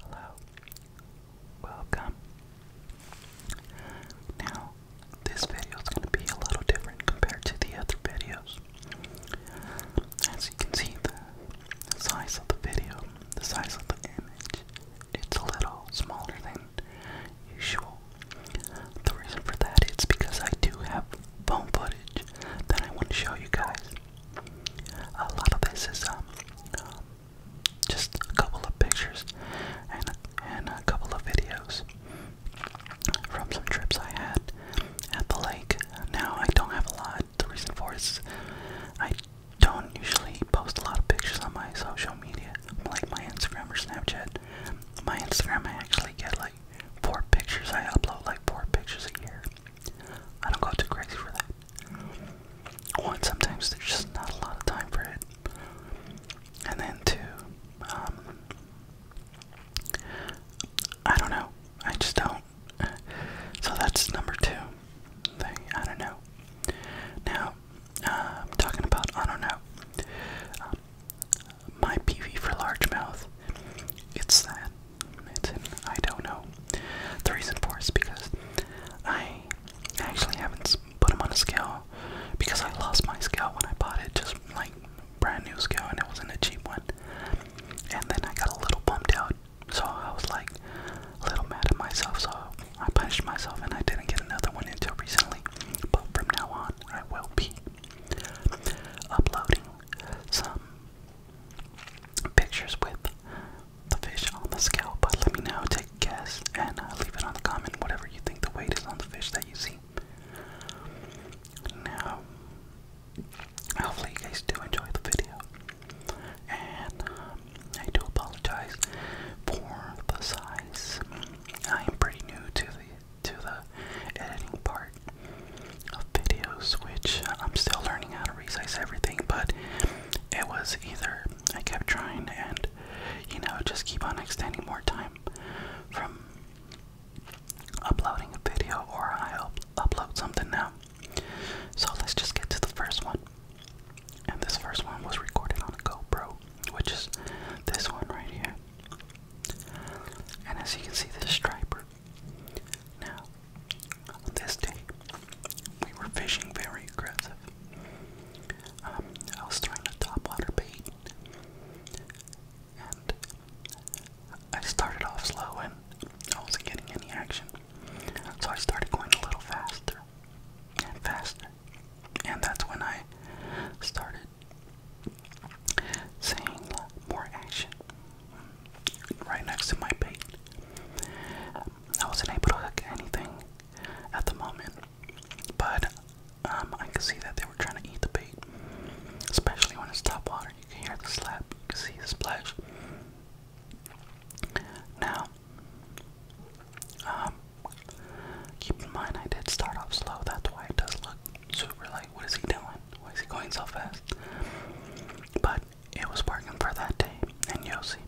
hello, hello. Welcome. Now, this video is going to be a little different compared to the other videos. As you can see, the size of the video, the size of the image, it's a little smaller than usual. The reason for that is because I do have phone footage that I want to show you guys. A lot of this is um, just a couple of pictures and and a couple of videos from some trips I had at the lake. Now I don't have a lot. The reason for it is I don't usually post a lot of pictures on my social media like my Instagram or Snapchat. My Instagram, I actually get like four pictures. I upload like four pictures a year. I don't go too crazy for that. One, sometimes there's just not a lot of time for it. And then two, um, I don't know. I just don't. So that's number two I don't know. Now, I'm um, talking about, I don't know, um, my PV for large mouth. It's that. It's in, I don't know. The reason for it is because I actually haven't put him on a scale because I lost my scale when I bought it, just like brand new scale, and it wasn't a cheap one. And then I got a little bumped out, so I was like a little mad at myself, so I punished myself and I didn't get another one until recently, but from now on I will be uploading some pictures with the fish on the scale. But let me know, take a guess and uh, leave it on the comment whatever you think the weight is on the fish that you see. Now, hopefully, you guys do enjoy the video. And uh, I do apologize for the size. I am pretty new to the to the editing part of videos, which I'm still learning how to resize everything. But it was either I kept trying and you know just keep on extending more time from uploading a video, or I will upload something now. So let's just get to the first one. And this first one was recorded on a GoPro, which is this one right here. And as you can see, this striper. Now, this day, we were fishing very aggressive. Um, I was throwing a topwater bait, and I started off slow and I wasn't getting any action. So I started going a little faster and faster and that's when I started seeing more action right next to my bait. I wasn't able to hook anything at the moment, but um, I could see that they were trying to eat the bait, especially when it's top water. You can hear the slap, you can see the splash. Now, um, Keep in mind, I did start off slow, that's why it does look super light. what is he doing? Why is he going so fast? But it was working for that day, and Yossi.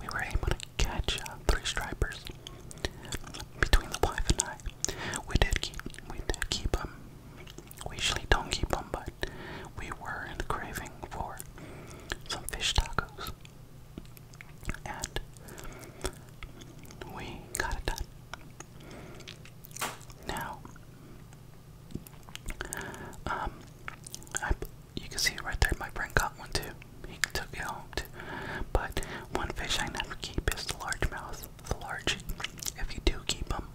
We were able to catch uh, three stripers between the wife and I. We did keep, we did keep them. We usually don't keep them, but we were in craving for some fish tacos and we got it done. Now, um, I, you can see right there, my friend got one too. He took it home too. But one fish I never keep is the largemouth. The large, if you do keep them,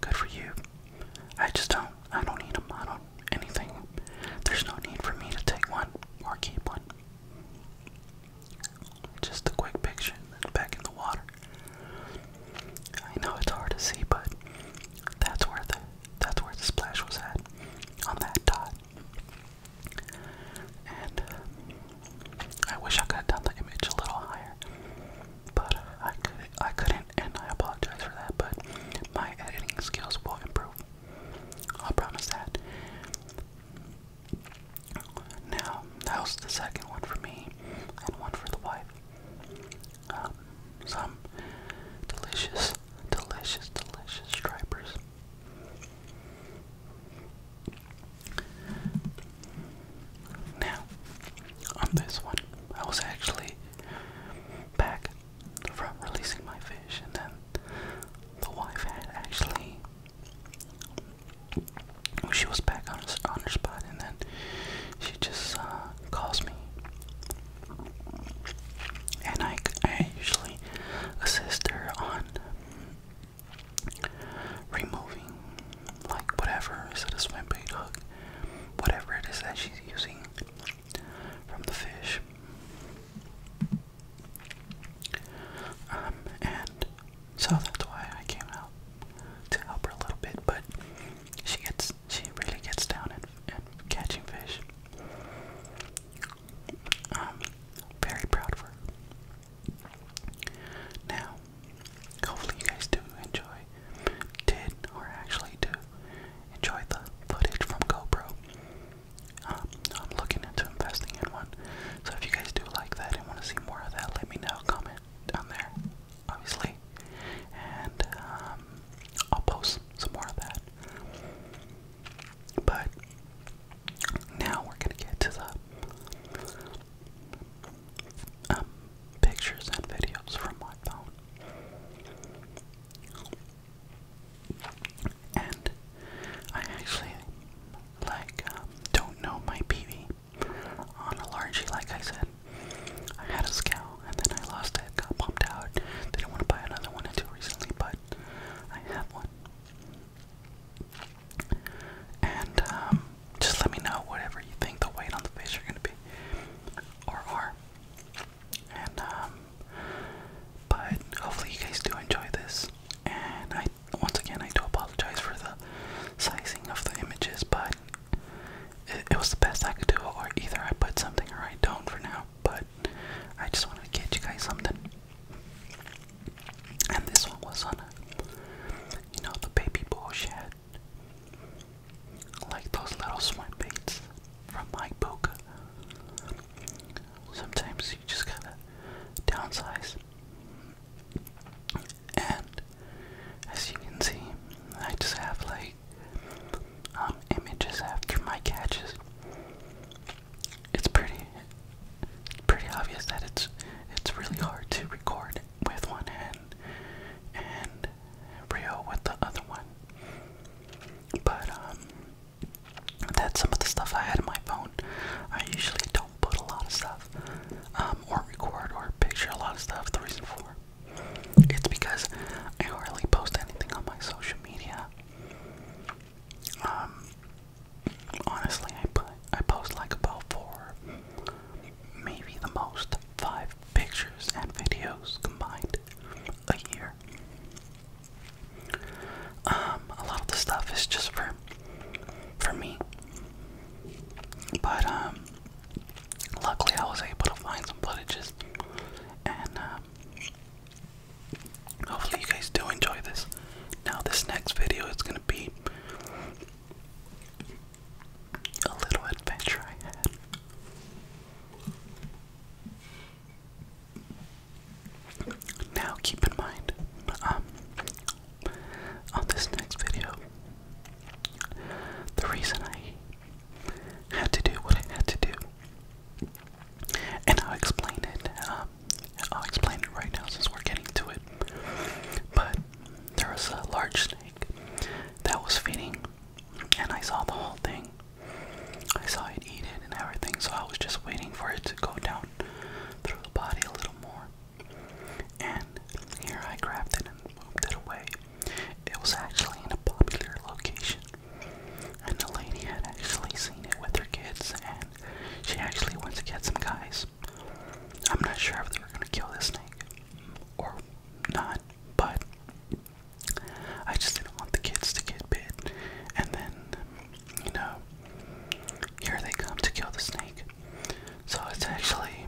good for you. I just don't. I don't need them. I don't anything. There's no need for me to take one or keep one. Just a quick picture back in the water. I know it's hard to see, but that's where the that's where the splash was at on that dot. And I wish I could have done the image a little higher, but I could I couldn't and, I apologize for that, but my editing skills will improve. I'll promise that. Now, that was the second one for me, and one for the wife. Um, some delicious, delicious, delicious stripers. Now, on this one, I was actually back from releasing my fish, and then the wife had actually she was back on her, on spot, and then she just uh, calls me, and I, I usually assist her on removing like whatever is it a swim bait hook, whatever it is that she's using from the fish. Um, and so that's why I came out to help her a little bit, but she gets she really gets down at, catching fish. i um, very proud of her. Now, hopefully you guys do enjoy did or actually do enjoy the footage from GoPro. Um, I'm looking into investing in one. So if you guys do like that and want to see more of that, let me know. Comment down there, obviously. And um, I'll post some more of that. But now we're going to get to the um, pictures and videos from my phone. And I actually like um, don't know my PV on a largey. Like I said, I had a scowl and then I lost it, got bumped out. Didn't want to buy another one until recently, but I have one. And um, just let me know whatever you think the weight on the fish are gonna be, or are. And um, but hopefully you guys do enjoy this. And I once again I do apologize for the sizing of the images, but it, was the best I could do or either I put something or I don't for now, but I just wanted to get you guys something. And this one was on a you know the baby bullshit like those little swim baits from my Boca. Sometimes you just gotta downsize. And as you can see, I just have like um, images after my catches. It's pretty, pretty obvious that it's it's really hard to record with one hand real with the other one. But um that's some of the stuff I had in my phone. I usually don't put a lot of stuff um or record or picture a lot of stuff. The reason for it's because I hardly post anything on my social media. Um honestly I put I post like about four maybe the most five pictures and videos combined a year. Um, a lot of the stuff is just for for me. But um, luckily I was able to find some footages and um, hopefully you guys do enjoy this. Now this next video is gonna be a little adventure I had. Now, keep in mind, um, on this next video, the reason I had to do what I had to do, and I'll explain it, um, I'll explain it right now since we're getting to it, but there was a large snake that was feeding, And I saw the whole thing. I saw it eat it and everything, so I was just waiting for it to go down through the body a little more. And here I grabbed it and moved it away. It was actually in a popular location. And the lady had actually seen it with her kids, and she actually went to get some guys. I'm not sure if they were gonna kill this snake or not, but I just didn't want the kids to get bit. And then, you know, here they come to kill the snake. So it's actually,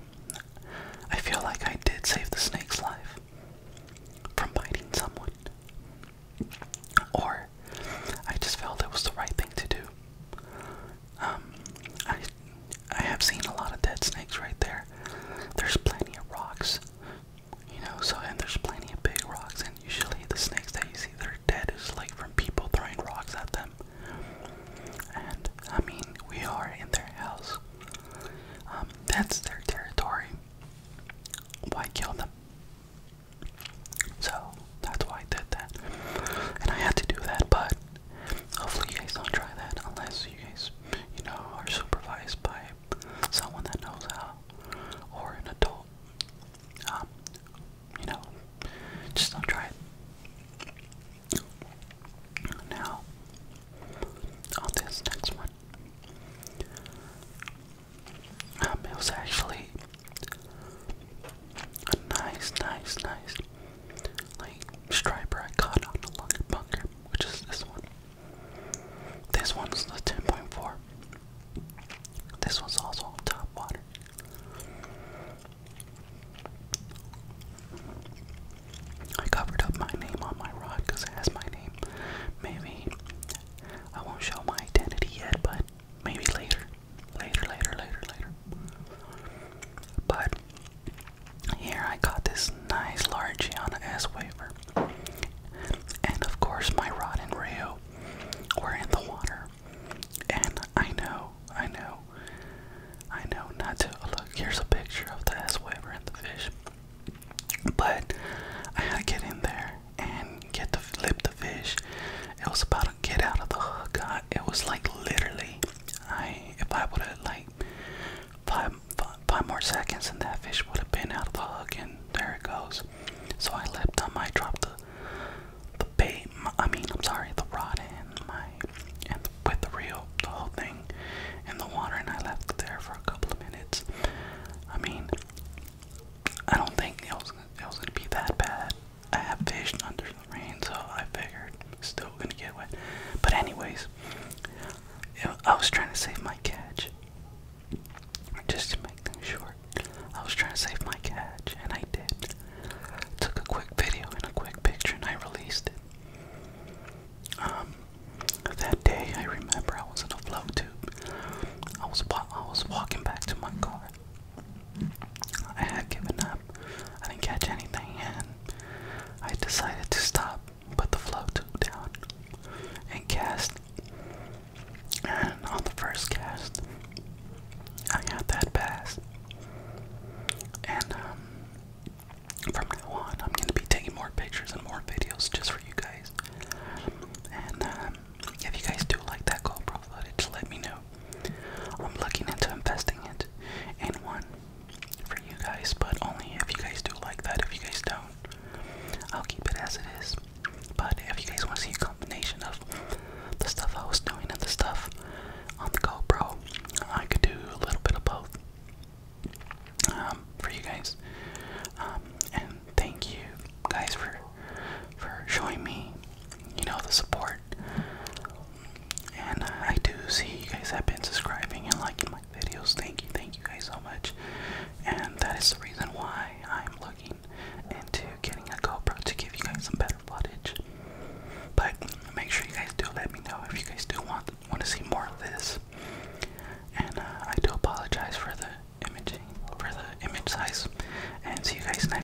I feel like I did save the snake's life from biting someone. Or I just felt it was the right thing to do. Um, I I have seen a lot of dead snakes right there. There's plenty of rocks, you know. So and there's plenty of big rocks, and usually the snakes that you see they're dead is like from people throwing rocks at them. And I mean, we are in their house. Um, that's their territory. Why kill them? So that's why I did that, and I had to do that, but Hopefully you guys don't try that unless you guys, you know, are supervised by someone that knows how or an adult. Um, you know, just don't try it. Now, on this next one, um, it was actually a nice, nice, nice like striper I caught on the longer bunker, which is this one. This one's the 10.4. This one's also top water. I covered up my name on my rod because it has my name. Maybe I won't show my identity yet, but maybe later. Later, later, later, later. But here I got this nice large Gianna S waiver. And of course, my rod and reel were in the water. And I know, I know, I know not to. Oh, look, here's a picture of the S waiver and the fish. But I had to get in there and get to flip the fish. It was about to get out of the hook. It was like literally I, if I would have like five more seconds, and that fish would have been out of the hook, and there it goes. So I left them. I dropped the the bait. I mean, I'm sorry, the rod and my and with the reel, the whole thing in the water, and I left there for a couple of minutes. I mean, I don't think it was it was gonna be that bad. I have fished under the rain, so I figured still gonna get wet. But anyways, I was trying to save my catch, just to make things short. I was trying to save my catch, and I did. Took a quick video and a quick picture, and I released it. Um, that day I remember I was in a flow tube. I was I was walking back to my car, I had given up. I didn't catch anything and I decided to stop, put the flow tube down, and cast. And on the first cast, I got that pass. And um, from now on, I'm going to be taking more pictures and more videos just for you guys. And um, if you guys do like that GoPro footage, let me know. I'm looking into investing it in one for you guys, but only if you guys do like that. If you guys don't, I'll keep it as it is. But if you guys want to see a combination of the stuff I was doing and the stuff on the GoPro, I could do a little bit of both um, for you guys. Um, and thank you guys for for showing me you know, the support. And uh, I do see you guys have been subscribing and liking my videos. Thank you, thank you guys so much. And that is the reason why I'm looking into getting a GoPro to give you guys some better footage. But make sure you guys do let me know if you guys do want want to see more of this. And uh, I do apologize for the imaging, for the image size. And see you guys next.